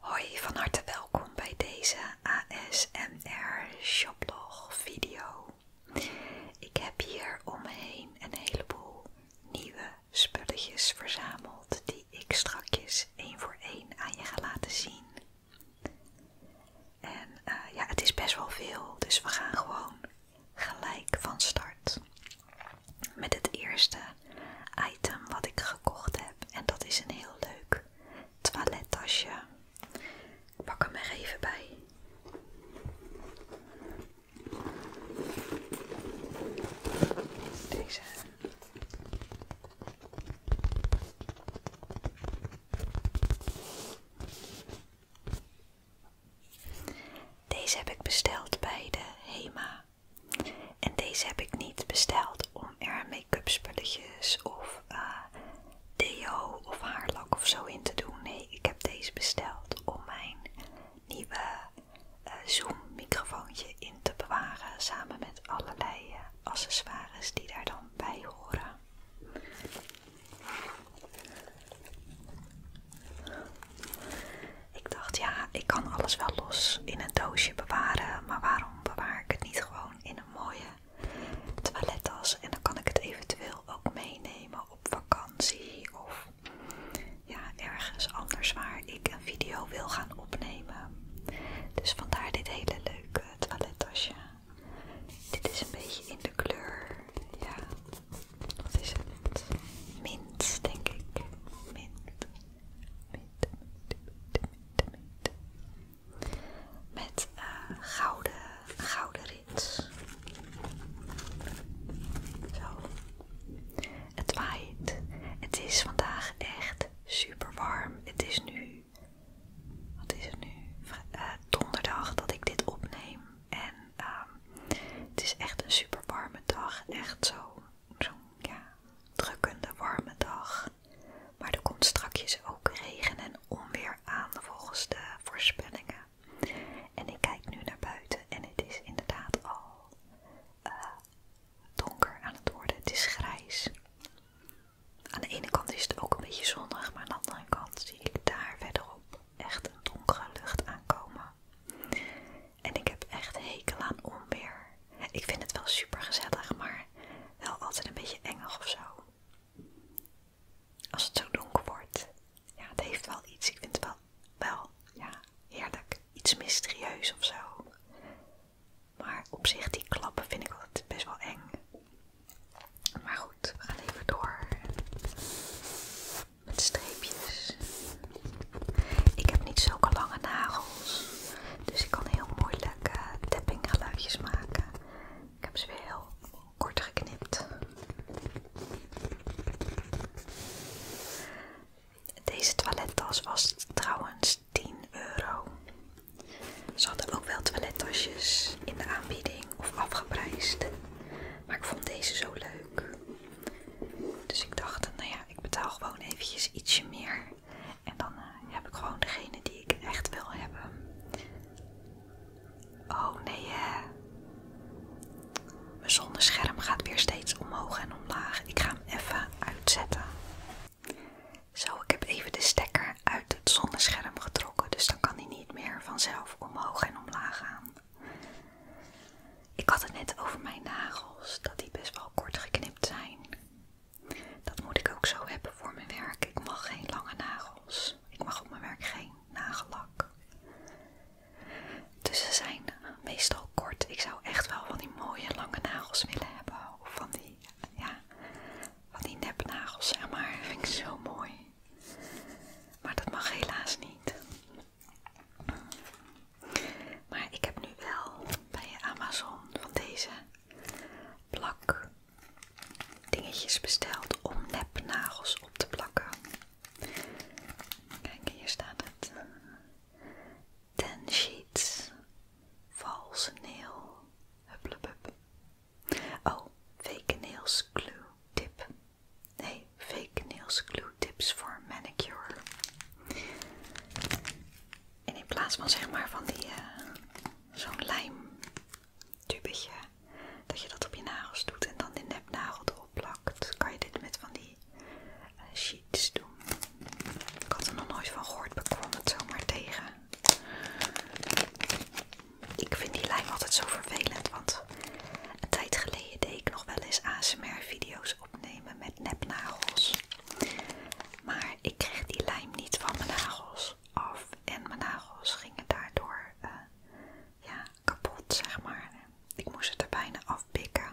Hoi, van harte welkom bij deze ASMR shoplog video. Ik heb hier omheen een heleboel nieuwe spulletjes verzameld die ik strakjes één voor één aan je ga laten zien. En eh, ja, het is best wel veel, dus we gaan gewoon gelijk van start met het eerste item wat ik gekocht heb. En dat is een heel leuk toilettasje. Ik pak hem er even bij. Deze. Deze heb ik besteld bij de Hema. En deze heb ik niet besteld om er make-up spulletjes of eh, deo of haarlak of zo in te doen. Nee, ik heb deze besteld om mijn nieuwe eh, zoommicrofoontje Zoom microfoontje in te bewaren samen met allerlei eh, accessoires die daar dan bij horen. Ik dacht ja, ik kan alles wel los in een doosje bewaren, maar waarom maar bewaar ik het niet gewoon in een mooie toilettas en dan kan ik het eventueel ook meenemen op vakantie of ja, ergens anders waar ik een video wil gaan opnemen. Dus vandaar dit hele leuke toilettasje. Dit is een beetje in de kleur, ja, wat is het? Mint, denk ik. Mint. Met eh, gouden, gouden rits. Zo. Het waait. Het is vandaag echt super warm. Het is nu, wat is het nu? Eh, donderdag dat ik dit opneem. En ehm, het is echt een super warme dag. Echt zo zo'n drukkende warme dag. Maar er komt strakjes ook regen en onweer aan volgens de voorspellingen. En ik kijk nu naar buiten en het is inderdaad al eh, donker aan het worden. Het is grijs. Aan de ene kant is het ook een beetje zonnig, maar aan de andere kant zie ik daar verderop echt een donkere lucht aankomen. En ik heb echt hekel aan onweer. Ik vind het wel super gezellig, maar wel altijd een beetje eng of zo. Als het zo donker wordt. Ja, het heeft wel iets. Ik vind het wel, wel ja, heerlijk. Iets mysterieus of zo. Maar op zich, die klappen vind ik altijd best wel eng. Maar goed, we gaan even door. Met streepjes. Ik heb niet zulke lange nagels. Dus ik kan heel mooi uh, eh, maken. Ik heb ze weer heel kort geknipt. Deze toilettas was trouwens 10 euro. Ze hadden ook wel toilettasjes in de aanbieding of afgeprijsd. Maar ik vond deze zo leuk. Dus ik dacht, nou ja, ik betaal gewoon eventjes ietsje meer. En dan eh, heb ik gewoon degene die ik echt wil hebben. Oh nee, hè. Mijn zonnescherm gaat weer steeds omhoog en omlaag. Ik ga hem even uitzetten. Zo, ik heb even de stekker uit het zonnescherm getrokken, dus dan kan hij niet meer vanzelf omhoog en omlaag gaan. Ik had het net over mijn nagels, dat die best wel kort geknipt zijn. Dat moet ik ook zo hebben voor mijn werk. Ik mag geen lange nagels. Ik mag op mijn werk geen nagellak. Dus ze zijn meestal kort. Ik zou echt wel van die mooie lange nagels willen hebben. Of van die, ja, van die nepnagels, zeg maar. Vind ik zo mooi. Maar dat mag helaas niet. Maar ik heb nu wel bij Amazon van deze plak dingetjes besteld om nepnagels op te plakken. Kijk, hier staat het. Ten sheets. Valse nail. Hupplepup. Oh, fake nails glue tip. Nee, fake nails glue tips voor manicure. En in plaats van zeg maar van die eh, zo'n lijm lijmtubetje, dat je dat op je nagels doet en dan de nepnagel erop plakt, kan je dit met van die eh, sheets doen. Ik had er nog nooit van gehoord, bekwam kwam het zomaar tegen. Ik vind die lijm altijd zo vervelend, want een tijd geleden deed ik nog wel eens ASMR video's opnemen met nepnagels. Maar ik kreeg die lijm niet van mijn nagels af. En mijn nagels gingen daardoor eh, kapot, zeg maar. Ik moest het er bijna afpikken.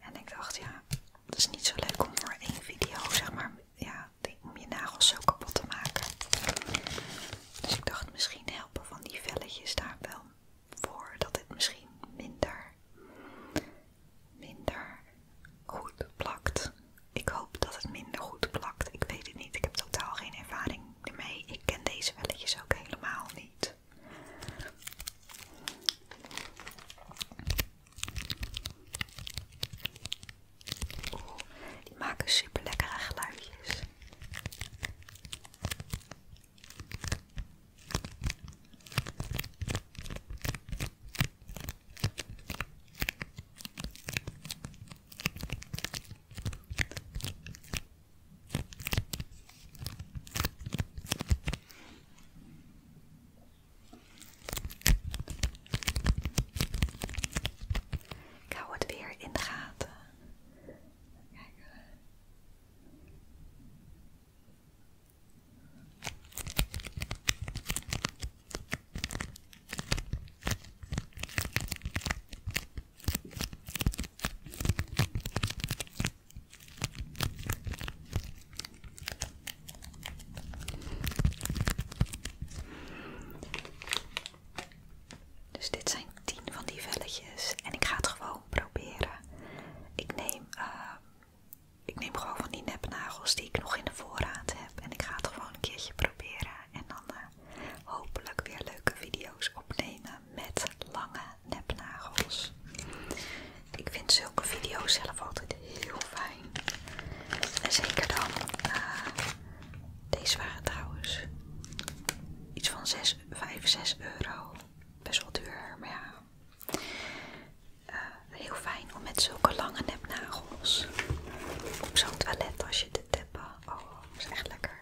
En ik dacht, ja, het is niet zo leuk om voor één video, zeg maar, ja, om je nagels zo kapot te maken. Dus ik dacht, misschien helpen van die velletjes daar wel voor, dat het misschien minder minder goed plakt. Ik hoop dat het minder goed plakt. Ik weet het niet. Ik heb totaal geen ervaring ermee. Ik ken deze velletjes ook helemaal niet. die maken super lekkere geluidjes. Ik hou het weer in de gaten. Eh. Dus dit zijn tien van die velletjes en ik ga het gewoon proberen. Ik neem eh, ik neem gewoon van die nepnagels die ik nog in de voorraad heb. En ik ga het gewoon een keertje proberen. En dan eh, hopelijk weer leuke video's opnemen met lange nepnagels. Ik vind zulke video's zelf altijd heel fijn. En zeker dan. Eh, deze waren trouwens iets van 6, 5, 6 euro. Best wel duur, maar ja. Eh, heel fijn om met zulke lange nepnagels op zo'n toilet als je te tappen. Oh, dat is echt lekker.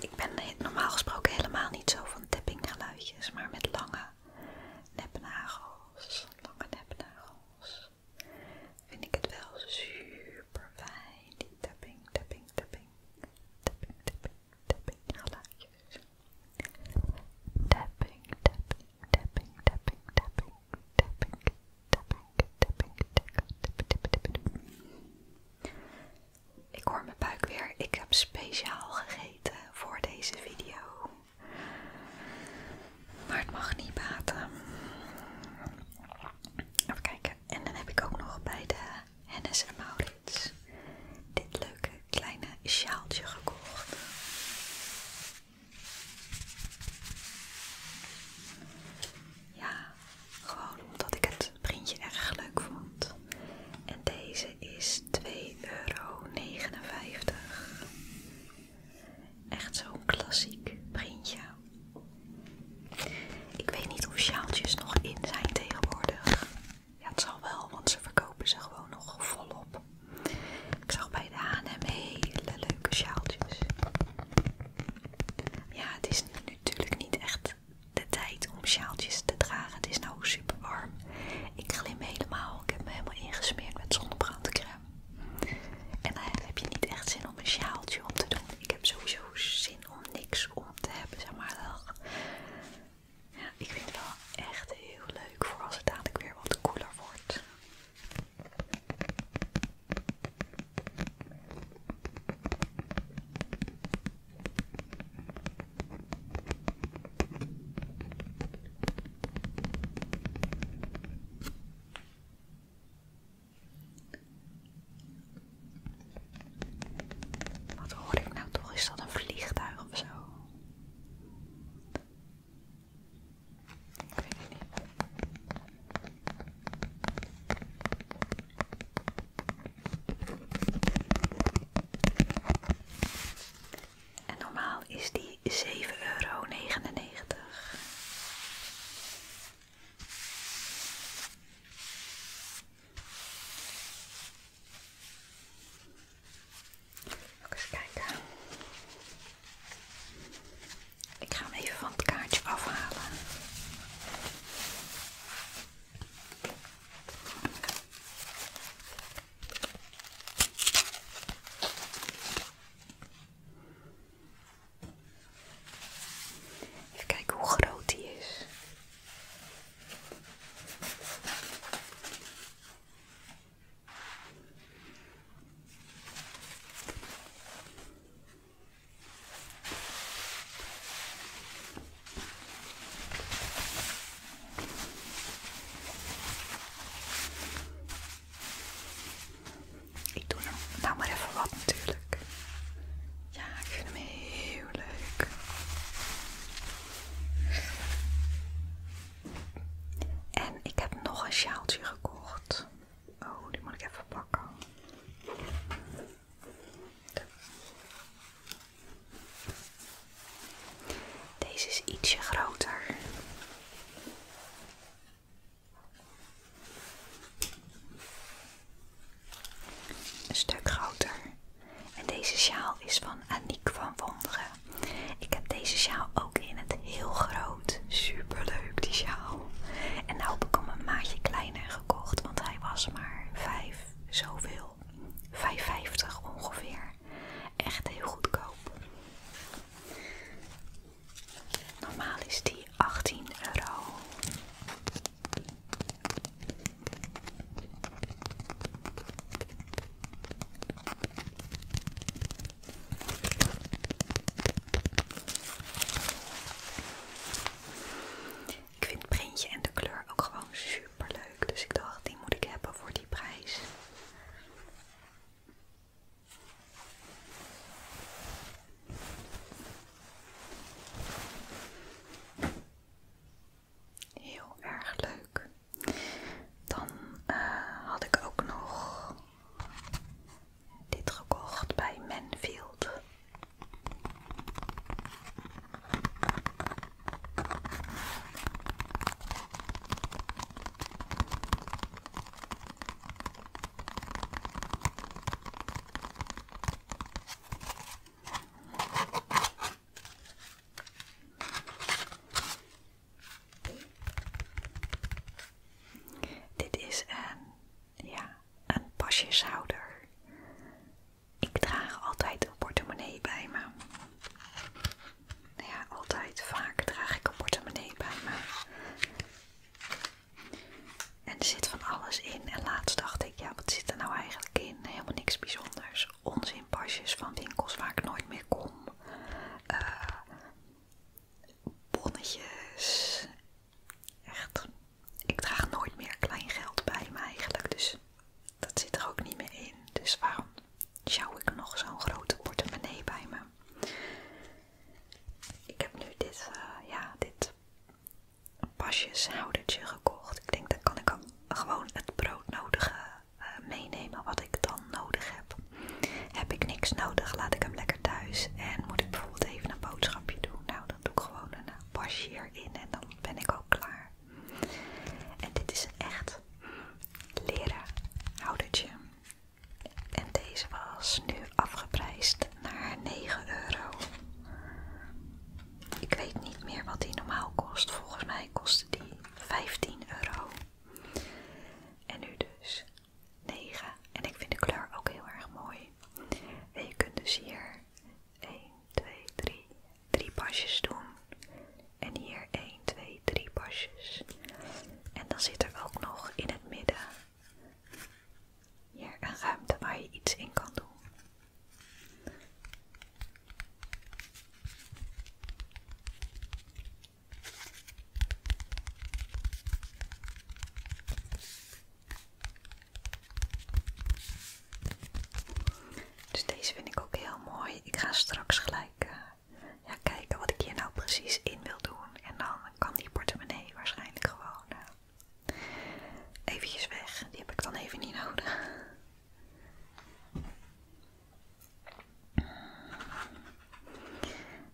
Ik ben normaal gesproken helemaal niet zo van tappinggeluidjes, maar met lange nepnagels, lange nepnagels, vind ik het wel super fijn. Die tapping, tapping, tapping, tapping, tapping tapping geluidjes. Tapping, tapping, tapping, tapping, tapping, tapping, tapping, tapping, tapping, tapping, tapping. Ik hoor mijn buik weer. Ik heb speciaal gegeten voor deze video. Maar het mag niet baten. Even kijken. En dan heb ik ook nog bij de Hennis en Maurits dit leuke kleine sjaaltje gekocht. Ja, gewoon omdat ik het printje erg leuk vond. En deze is 2,59 euro. Echt zo'n klassiek printje. Ik weet niet of sjaaltjes nog in zijn tegenwoordig. Ja, het zal wel, want ze verkopen ze gewoon nog volop. Ik zag bij de H&M hele leuke sjaaltjes. Ja, het is natuurlijk niet echt de tijd om sjaaltjes te dragen. Het is nou super warm. Ik glim helemaal. Ik heb me helemaal ingesmeerd met zonnebrandcreme. En dan heb je niet echt zin om een sjaaltje om te doen. Ik heb sowieso zin om niks om te hebben, zeg maar ik vind het wel echt heel leuk voor als het dadelijk weer wat koeler wordt. Wat hoor ik nou toch? Is dat een vliegtuig of zo? En normaal is die 7,99 euro. Ook kijken. Ik ga hem even van het kaartje afhalen. Even kijken hoe groot die is. Ik doe hem nou even wat natuurlijk. Ja, ik vind hem heel leuk. En ik heb nog een sjaaltje gekocht. Oh, die moet ik even pakken. Deze is ietsje groter. Een stuk groter. En deze sjaal is van Aniek van Wonderen. Ik heb deze sjaal ook in het heel groot. Super leuk die sjaal. En nou heb ik hem een maatje kleiner gekocht, want hij was maar 5 zoveel. 5,50 ongeveer. Echt heel goedkoop. Normaal is die 18 euro. Ik vind het printje en de kleur ook gewoon super leuk. Dus ik dacht, die moet ik hebben voor die prijs. Heel erg leuk. Dan eh, had ik ook nog dit gekocht bij Manfield. Dit is een, ja, een pasjeshouder. Ik draag altijd een portemonnee bij me. Ja, altijd. Vaak draag ik een portemonnee bij me. En er zit van alles in. En laatst dacht ik, ja, wat zit er nou eigenlijk in? Helemaal niks bijzonders. Dus onzin pasjes van winkels waar ik nooit meer kom. Eh, bonnetjes. Echt. Ik draag nooit meer klein geld bij me eigenlijk. Dus dat zit er ook niet meer in. Dus waarom zou ik nog zo'n grote portemonnee bij me? Ik heb nu dit, eh, ja, dit pasjeshoudertje gekocht. Ik denk, dat kan ik gewoon het broodnodige eh, meenemen wat ik dan nodig heb. Heb ik niks nodig, laat ik hem lekker thuis. En moet ik bijvoorbeeld even een boodschapje doen? Nou, dan doe ik gewoon een pasje eh, hierin en dan ben ik ook klaar. En dit is een echt leren houdertje. En deze was nu afgeprijsd naar 9 euro. Ik weet niet meer wat die normaal kost. Volgens mij kostte die 15 euro. En nu dus 9. En ik vind de kleur ook heel erg mooi. En je kunt dus hier 1, 2, 3, 3 pasjes doen. En hier 1, 2, 3 pasjes. En dan zit er ook nog in het midden hier een ruimte waar je iets in kan doen. Dus deze vind ik ook heel mooi. Ik ga straks gelijk eh, kijken wat ik hier nou precies in wil doen. En dan kan die portemonnee waarschijnlijk gewoon even eh, eventjes weg. Die heb ik dan even niet nodig.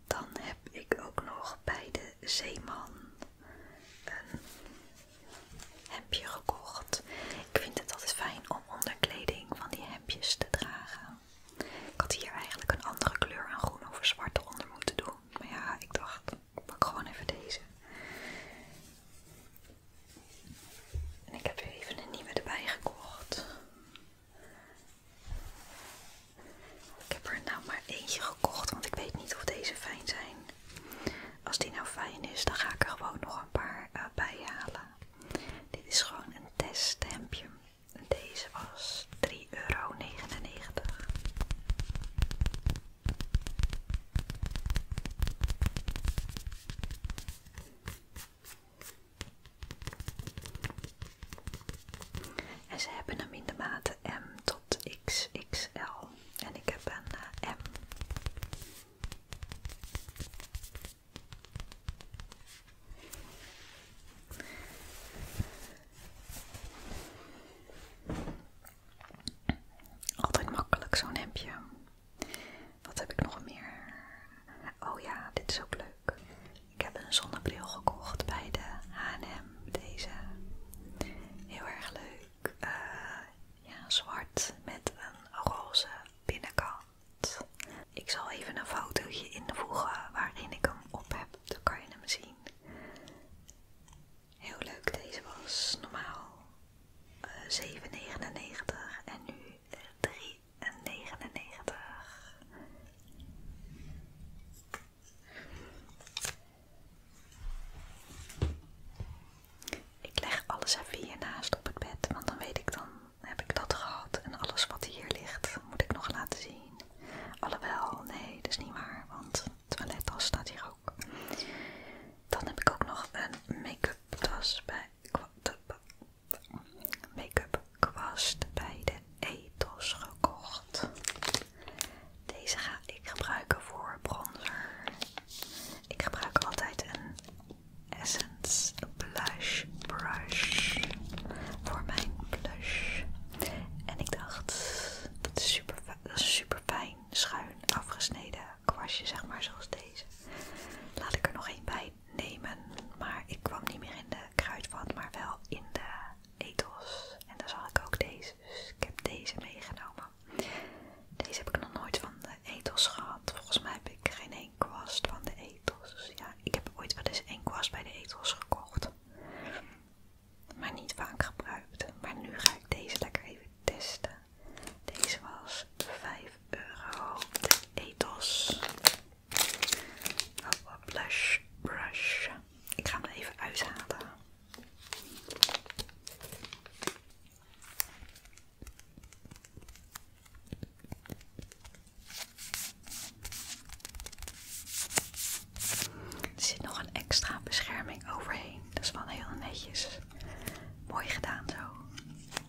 Dan heb ik ook nog bij de Zeeman een hemdje gekocht. Ik vind het altijd fijn om onderkleding van die hemdjes te dragen. Ik had hier eigenlijk een andere kleur aan groen of zwart onder moeten doen. Maar ja, ik dacht, ik pak gewoon even deze. En ik heb weer even een nieuwe erbij gekocht. Ik heb er nou maar eentje gekocht, want ik weet niet of deze fijn zijn. Als die nou fijn is, dan ga ik er gewoon nog een paar eh, bij halen. Dit is gewoon een teststempje. En deze was 3,99 euro. En ze hebben hem in de maten M tot XXL. En ik heb een eh, M. Altijd makkelijk zo'n hemdje. Wat heb ik nog meer? Oh ja, dit is ook leuk. Ik heb een zonnebril gekocht bij de H&M. Deze. Heel erg leuk. Eh, ja, zwart met een roze binnenkant. Ik zal even een fotootje invoegen waarin ik hem op heb. Dan kan je hem zien. Heel leuk deze was. Normaal 7,99 en nu 3,99. Ik leg alles even hier naast op het bed, want dan weet ik dan heb ik dat gehad en alles wat hier ligt moet ik nog laten zien. Alhoewel, nee, dat is niet waar, want toilettas staat hier ook. Dan heb ik ook nog een make-up tas bij make-up kwast bij de Etos gekocht. Deze ga ik gebruiken voor bronzer. Ik gebruik altijd een Essence Blush Brush voor mijn blush. En ik dacht, dat super, dat is super fijn, schuin afgesneden kwastje, zeg maar, zoals deze. Laat ik er nog één bij nemen, maar ik kwam niet meer in de kruidvat, maar wel in de etos. En daar zal ik ook deze, dus ik heb deze meegenomen. Deze heb ik nog nooit van de etels gehad. Volgens mij heb ik geen één kwast van de etels. Dus ja, ik heb ooit wel eens een kwast bij de etos gekocht. Maar niet vaak gebruikt. Maar nu ga ik deze lekker even testen. Deze was 5 euro. De Ethos. Oh, blush brush. Ik ga hem even uithalen. Er zit nog een extra bescherming overheen. Dat is wel heel netjes. Mooi gedaan zo.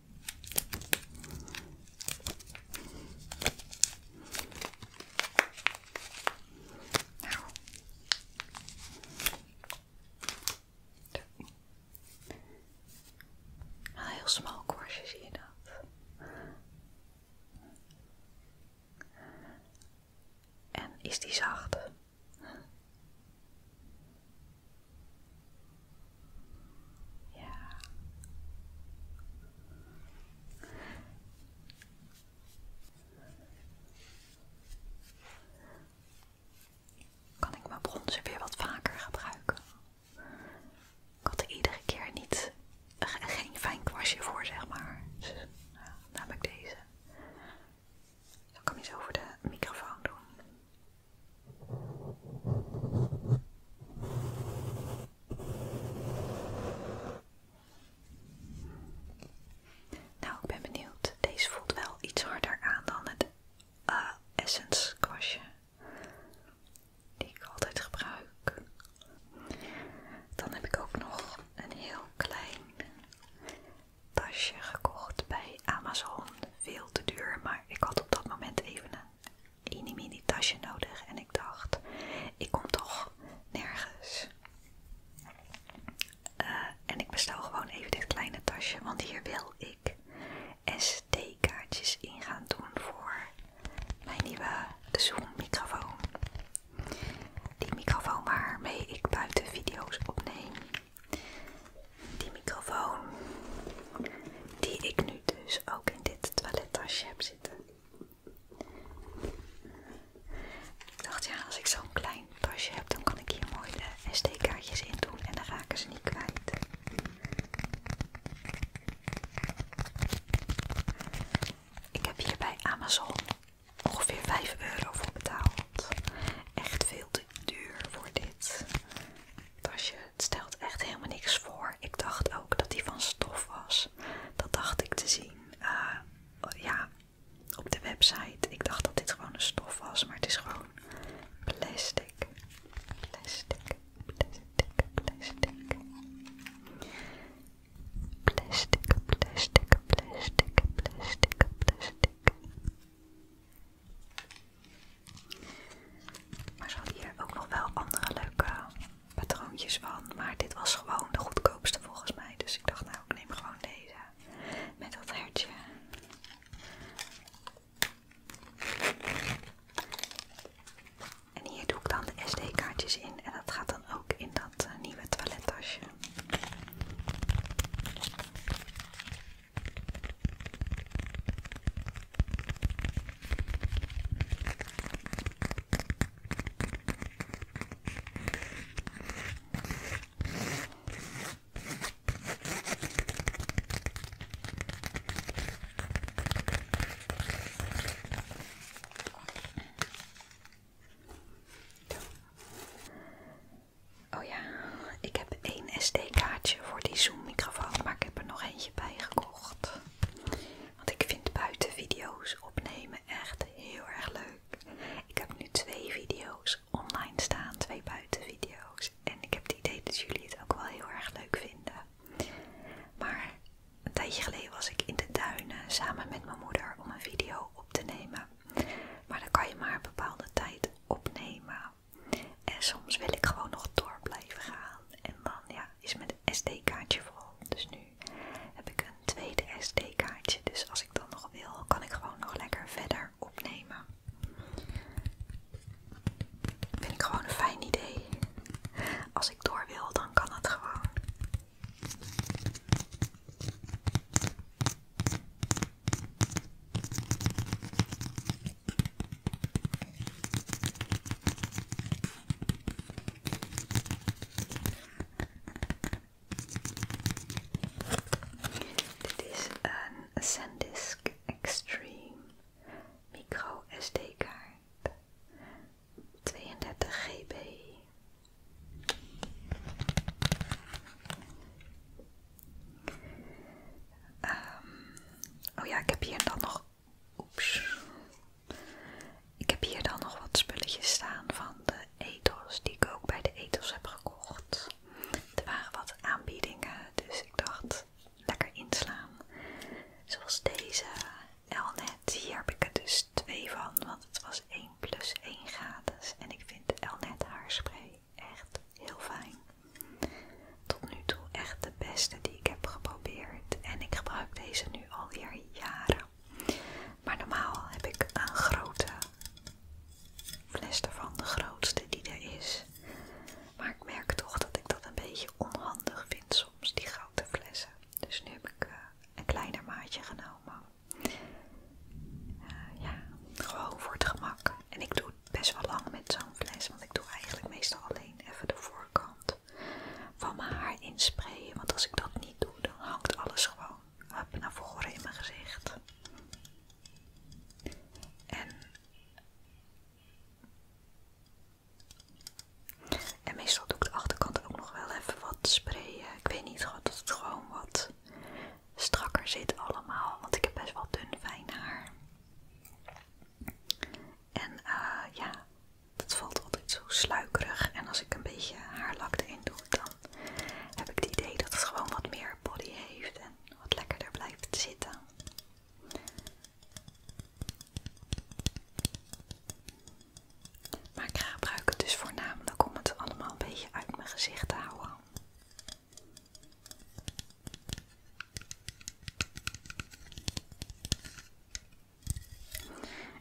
Nou. Een heel smal korstje zie je dat. En is die zacht? Ja. Kan ik mijn bronzen weer wat vaker gebruiken? Ik had iedere keer niet, geen fijn kwastje voor, zeg maar. Dus, namelijk deze. Dan kan ik eens over de microfoon doen. Nou, ik ben benieuwd. Deze voelt wel iets harder aan dan het eh, Essence kwastje. Die ik altijd gebruik. Dan heb ik ook nog een heel klein tasje gekocht bij Amazon. Veel te duur, maar ik had op dat moment even een mini tasje nodig en ik dacht, ik kom toch nergens. Eh, en ik bestel gewoon even dit kleine tasje, want hier wil ik SD-kaartjes in gaan doen voor mijn nieuwe Zoom-microfoon. Die microfoon waarmee ik buiten video's opneem. Die microfoon die ik nu dus ook in dit toilettasje heb zitten. Ik dacht ja, als ik zo'n klein tasje heb, dan kan ik hier mooie de sd in doen en dan raken ze niet kwijt. Ik heb hier bij Amazon ongeveer 5 euro voor betaald. Echt veel te duur voor dit tasje. Het stelt echt helemaal niks voor. Ik dacht ook dat die van stof was. Dat dacht ik te zien. Eh, ja, op de website. Ik dacht dat dit gewoon een stof was, maar het is gewoon plastic. Plastic, plastic, plastic. Plastic, plastic, plastic, plastic, plastic. Maar ze hadden hier ook nog wel andere leuke patroontjes van. Maar dit was gewoon de goedkoopste volgens mij. Dus ik dacht nou, ik neem gewoon deze. Met dat hertje. En hier doe ik dan de SD-kaartjes in. En dat gaat dan ook in dat eh, nieuwe toilettasje. Oh ja, ik heb één SD-kaartje voor die zoommicrofoon, maar ik heb er nog eentje bij gekocht. Want ik vind buiten video's opnemen echt heel erg leuk. Ik heb nu twee video's online staan, twee buitenvideo's. En ik heb het idee dat jullie het ook wel heel erg leuk vinden. Maar een tijdje geleden was ik in de duinen samen met mijn moeder om een video op te nemen. Maar dan kan je maar een bepaalde tijd opnemen. En soms wil ik gewoon nog door blijven gaan. En dan ja, is met een SD-kaartje vol, Dus nu heb ik een tweede SD-kaartje. Dus als ik dan nog wil, kan ik gewoon nog lekker verder opnemen. Vind ik gewoon een fijn idee. Als ik door wil, dan kan het gewoon. Dit is een SanDisk Extreme micro SD-kaart 32 GB. Um, ehm, oh ja, ik heb hier dan nog Oeps. Ik heb hier dan nog wat spulletjes staan van de ethos die ik ook bij de ethos heb gekocht. Er waren wat aanbiedingen, dus ik dacht lekker inslaan. Zoals deze Elnet. Hier heb ik er dus twee van, want het was 1 plus 1 gratis. En ik vind Elnet haarspray echt heel fijn tot nu toe echt de beste die ik heb geprobeerd. En ik gebruik deze nu alweer jaren. Maar normaal heb ik een grote fles ervan, de grootste die er is. Maar ik merk toch dat ik dat een beetje onhandig vind soms, die grote flessen. Dus nu heb ik eh, een kleiner maatje genomen. Eh, ja, gewoon voor het gemak. En ik doe het best wel lang met zo'n fles, want ik doe eigenlijk meestal alleen even de voorkant van mijn haar insprayen. Want als ik dat niet doe, dan hangt alles gewoon naar voren in mijn gezicht. En, en meestal doe ik de achterkant ook nog wel even wat sprayen. Ik weet niet dat het gewoon wat strakker zit allemaal. Want ik heb best wel dun fijn haar. En eh, ja, het valt altijd zo sluikerig. En als ik een beetje haarlak erin doe, dan heb ik het idee dat het gewoon wat meer body heeft en wat lekkerder blijft zitten. Maar ik gebruik het dus voornamelijk om het allemaal een beetje uit mijn gezicht te houden.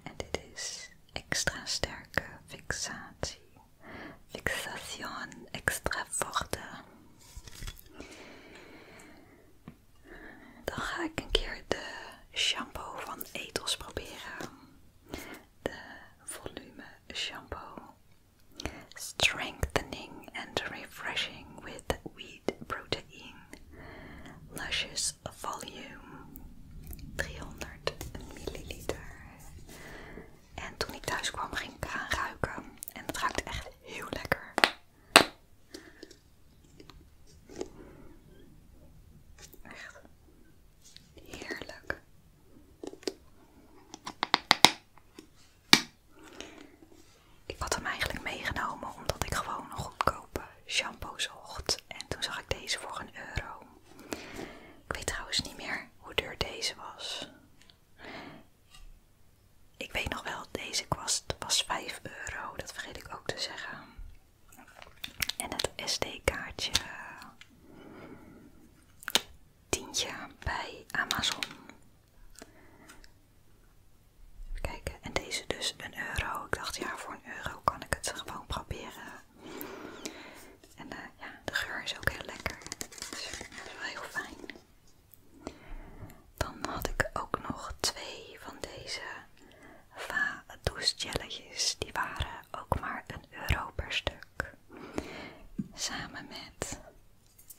En dit is extra sterke fixatie. Fixation extra forte. Dan ga ik een keer de shampoo van Ethos proberen. De volume shampoo. Strengthening and refreshing with wheat protein. Luscious Volume 300 milliliter. En toen ik thuis kwam ging ik aan ruiken. En het ruikt echt heel lekker. Echt heerlijk. Ik had hem eigenlijk meegenomen omdat ik gewoon een goedkope shampoo zocht. En toen zag ik deze voor een euro. Ik weet trouwens niet meer hoe duur deze was. Ik weet nog wel, deze kwast was 5 euro. Dat vergeet ik ook te zeggen. En het SD-kaartje. Tientje bij Amazon. Even kijken. En deze dus een euro. Ik dacht ja, voor een euro kan ik het gewoon proberen. En eh, ja, de geur is ook heel lekker. Het dus, is wel heel fijn. Dan had ik ook nog twee van deze va douchegelletjes. Die waren ook maar een euro per stuk. Samen met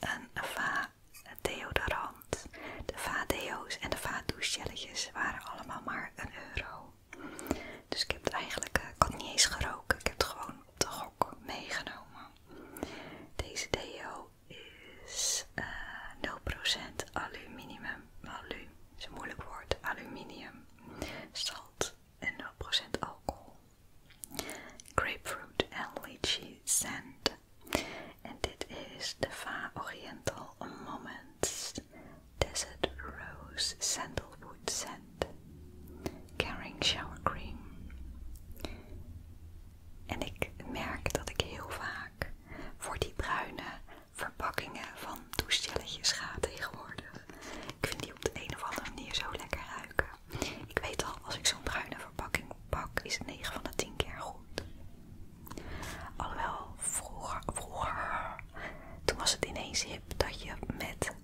een va deodorant, de vadeo's en de vaatdouchegelletjes waren allemaal maar een euro. Dus ik heb het eigenlijk, eh, ik niet eens geroken, ik heb het gewoon op de gok meegenomen. Deze deo is 0% eh, aluminium, alu, is een moeilijk woord, aluminium, salt en 0% alcohol. Grapefruit en lychee sand en dit is de Fa Oriental Moments Desert Rose Sandalwood Scent Caring Shower Cream. En ik merk dat ik heel vaak voor die bruine verpakkingen van toestelletjes ga tegenwoordig. Ik vind die op de een of andere manier zo lekker ruiken. Ik weet al, als ik zo'n bruine verpakking pak, is het 9 van de 10 keer goed. Alhoewel, vroeger, toen was het ineens hip dat je met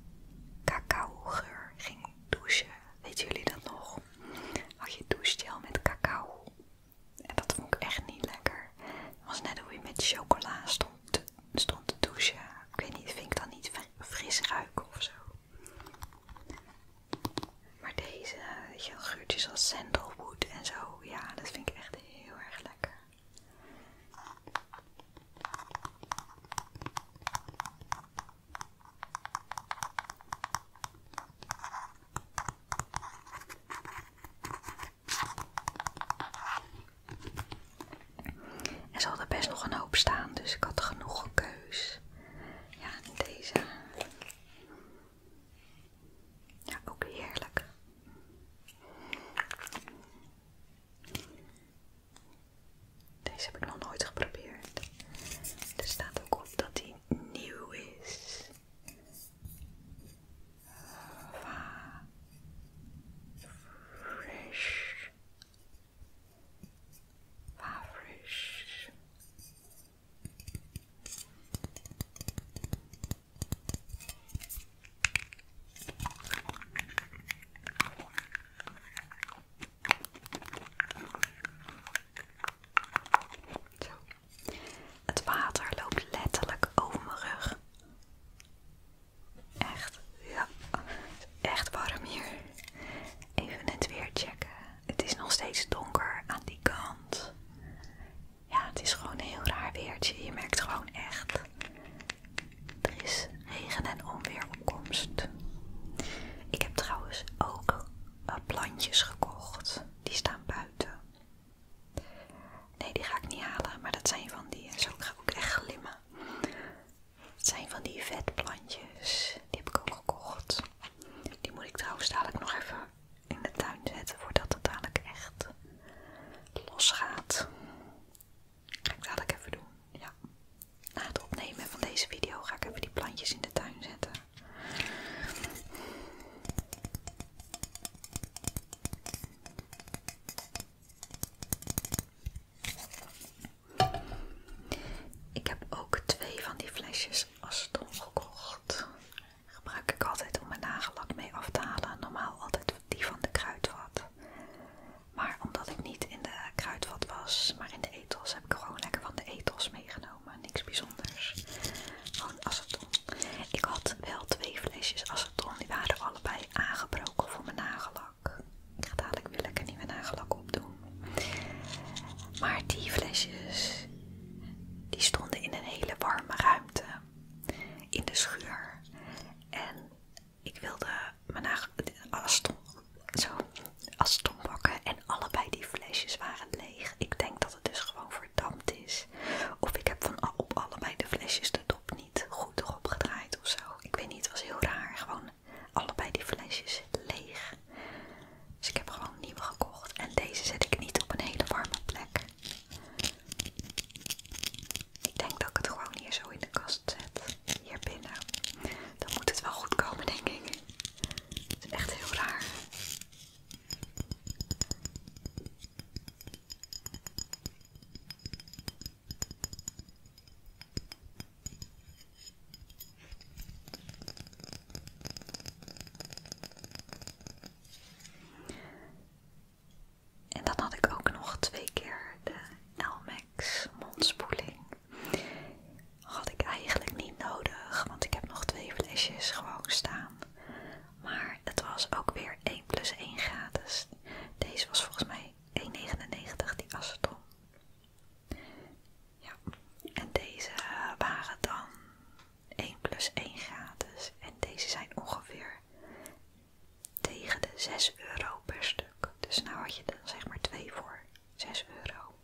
cacaogeur ging douchen. Weet jullie dat nog? Had je al met cacao. En dat vond ik echt niet lekker. Het was net hoe je met chocola stond stond te douchen. Ik weet niet, vind ik dan niet fris ruiken of zo. Maar deze, weet je geurtjes als sandalwood en zo, ja, dat vind ik echt heel erg lekker. En ze hadden best nog een hoop staan, dus ik had genoeg keus. Ja, deze. Ja, ook heerlijk. Deze heb ik nog nooit geprobeerd. Er staat ook op dat hij nieuw is. fresh. fresh. Het water loopt letterlijk over mijn rug. Echt, ja, echt warm hier. Even het weer checken. Het is nog steeds donker aan die kant. Ja, het is gewoon een heel raar weertje. Je merkt gewoon echt. Er is regen en onweer opkomst. Ik heb trouwens ook eh, plantjes gekocht. Die staan buiten. Nee, die ga ik niet halen. Maar dat zijn van die. Eh, zo ga ik ook echt glimmen. Het zijn van die vetplantjes. Die heb ik ook gekocht. Die moet ik trouwens dadelijk nog even in de tuin zetten voordat het dadelijk echt los gaat. Ga ik dadelijk even doen. Na het opnemen van deze video ga ik even die plantjes in de tuin zetten. Ik heb ook twee van die flesjes het gekocht. Gebruik ik altijd om mijn nagellak mee af te halen. Normaal altijd die van de kruidvat. Maar omdat ik niet in de kruidvat was, maar in de etels, heb ik gewoon lekker van de etels meegenomen. Niks bijzonders. Gewoon aceton. Ik had wel twee flesjes aceton. Die waren allebei aangebroken voor mijn nagellak. Ik ga dadelijk weer lekker nieuwe nagellak opdoen. Maar die flesjes, die stonden in een hele warme ruimte in de schuur. En ik wilde mijn aston bakken en allebei die flesjes waren leeg. Ik denk dat het dus gewoon verdampt is. Of ik heb van op allebei de flesjes de dop niet goed erop gedraaid of zo. Ik weet niet, het was heel raar. Gewoon allebei die flesjes leeg. Dus ik heb gewoon nieuwe gekocht. En deze zet ik niet op een hele warme plek. Ik denk dat ik het gewoon hier zo in de kast zet. Hier binnen. Dan moet het wel goed komen, denk ik. Het is echt heel raar. En dan had ik ook nog twee keer de Elmex mondspoeling. Had ik eigenlijk niet nodig, want ik heb nog twee flesjes gewoon staan. Maar het was ook weer 1 plus 1 gratis. Deze was volgens mij 1,99 die aceton. Ja, en deze waren dan 1 plus 1 gratis en deze zijn ongeveer tegen de 6 euro per stuk. Dus nou had je er zeg maar 2 voor 6 euro.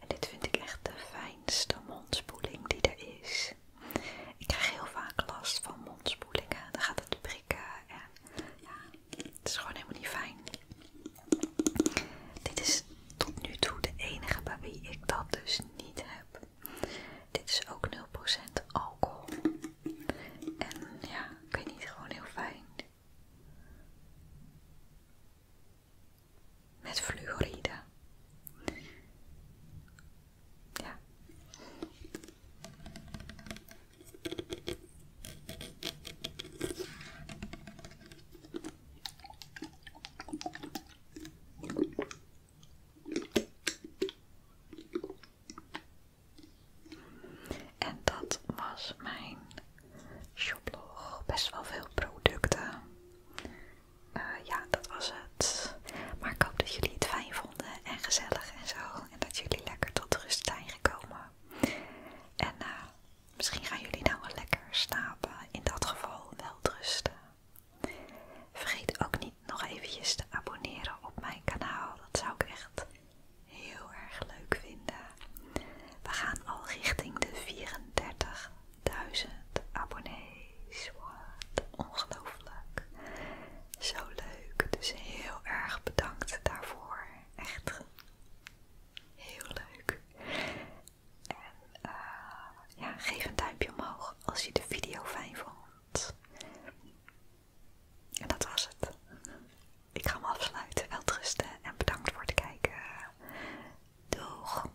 En dit vind ik echt de fijnste mondspoeling die er is. Ik krijg heel vaak last van mondspoelingen. Dan gaat het prikken en ja, het is gewoon helemaal niet fijn. Dit is tot nu toe de enige bij ik dat dus niet heb. Dit is ook 0% alcohol. En ja, ik vind het gewoon heel fijn. Met fluoride. Ja. En dat was mijn shoplog. Best wel veel producten. Eh, ja, dat was het. Maar ik hoop dat jullie het fijn vonden en gezellig en zo. En dat jullie lekker tot rust zijn gekomen. En eh, misschien gaan jullie nou wel lekker slapen. In dat geval wel rusten. Vergeet ook niet nog eventjes te abonneren op mijn kanaal. Dat zou ik echt heel erg leuk vinden. We gaan al richting de 34.000 abonnees. Wat ongelooflijk. Zo leuk. Dus heel erg bedankt daarvoor. Echt heel leuk. En eh, geef een duimpje omhoog als je de video fijn vond. En dat was het. Ik ga hem afsluiten. Wel en bedankt voor het kijken. Doeg!